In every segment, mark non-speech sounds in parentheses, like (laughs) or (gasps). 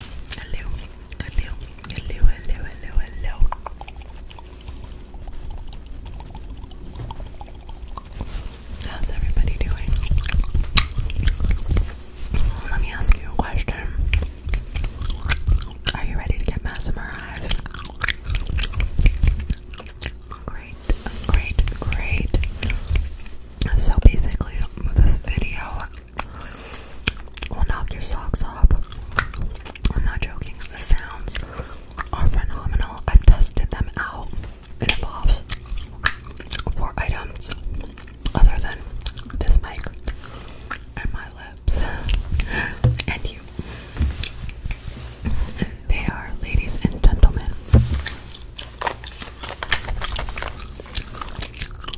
Hello, hello, hello, hello, hello, hello. How's everybody doing? Let me ask you a question. Are you ready to get mesmerized? Great, great, great. So basically, this video will knock your socks off. I'm not joking, the sounds are phenomenal. I've tested them out. It involves four items other than this mic and my lips (laughs) and you. They are, ladies and gentlemen,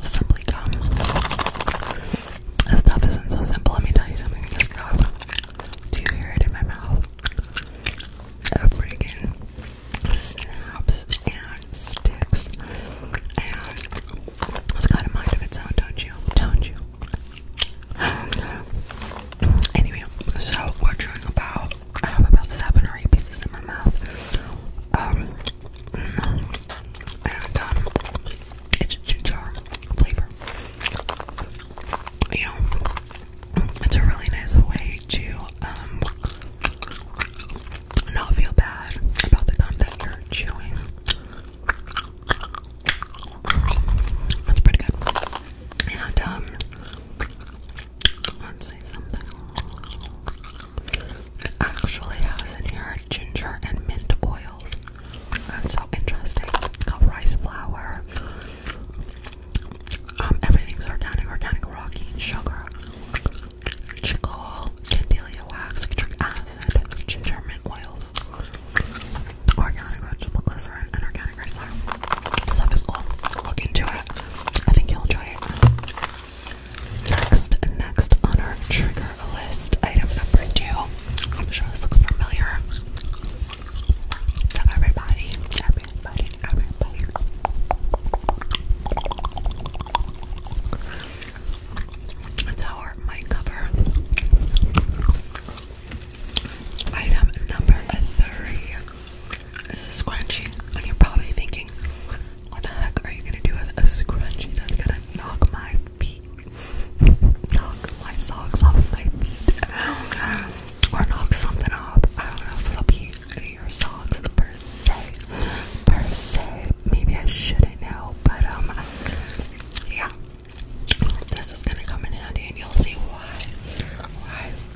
Simply gum. This stuff isn't so simple. Let me tell you something. This gum. Do you hear it in my mouth? It freaking snaps and sticks. And it's got a mind of its own, don't you? Don't you? (gasps) Anyway, so we're chewing about I have about seven or eight pieces in my mouth. Um, and um, it's ginger flavor. You know, it's a really nice way to um not feel bad about the gum that you're chewing. That's pretty good. And um, it actually has in here ginger and mint oils. That's so interesting. Got rice flour. Um, everything's organic, organic, rocky, sugar, chicle, candelia wax, citric acid, ginger mint oils, organic vegetable glycerin, and organic rice flour. Stuff is cool. Look into it. I think you'll enjoy it. Next, next on our trigger list, item number two. I'm sure this looks familiar to everybody. Everybody, everybody. That's our mic cover. Item number three. This is scrunchy, and you're probably thinking, what the heck are you gonna do with a scrunchy that's gonna knock my feet, (laughs) knock my socks off my feet, or knock something off? I don't know if it'll be your socks per se, per se. Maybe I shouldn't know, but um, yeah, this is gonna come in handy, and you'll see why. Why?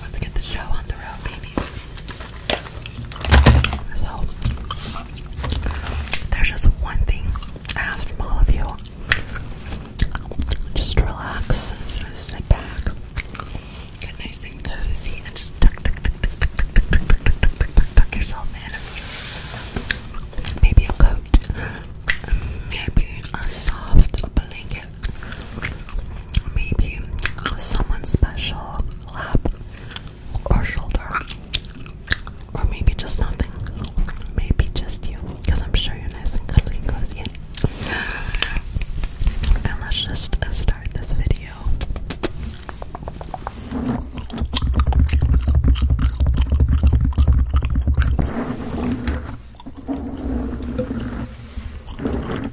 Let's get the show on the road, babies. So, there's just one thing I ask from all of you. Just relax, sit back, get nice and cozy, and just tuck yourself in. Maybe a coat, maybe a soft blanket, maybe someone special lap or shoulder or maybe just nothing maybe just you I'm sure you're nice and cuddly and cozy and let's just start this video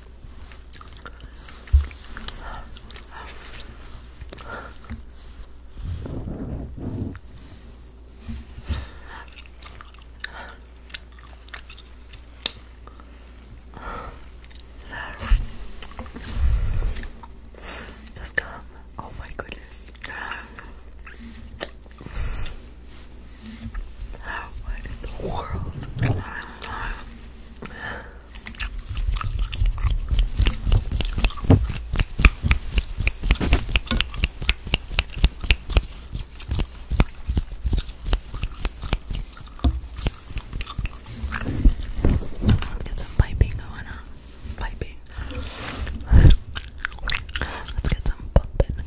Let's Oh my goodness. What in the world? Let's get some piping going on. Piping. (laughs) Let's get some pumping.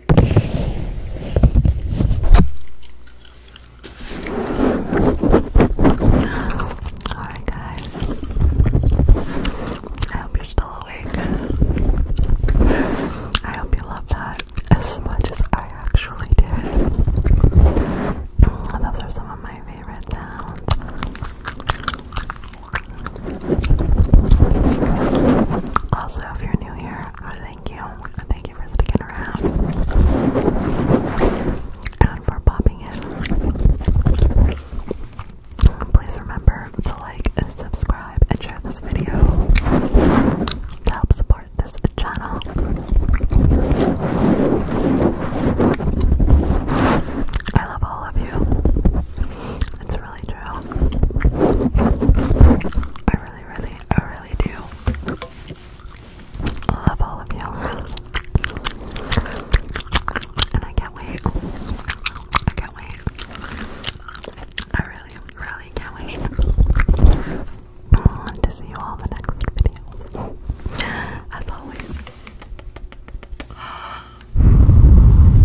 Alright, guys. I hope you're still awake. I hope you love that as much as I actually did. Those are some of my favorite sounds. Also, if you're new here, thank you. Thank you for sticking around and for popping in. Please remember to like, subscribe, and share this video to help support this channel. I love all of you. It's I really, really, I really do. I love all of you. And I can't wait. I can't wait. I really, really can't wait. Um, to see you all in the next video. As always.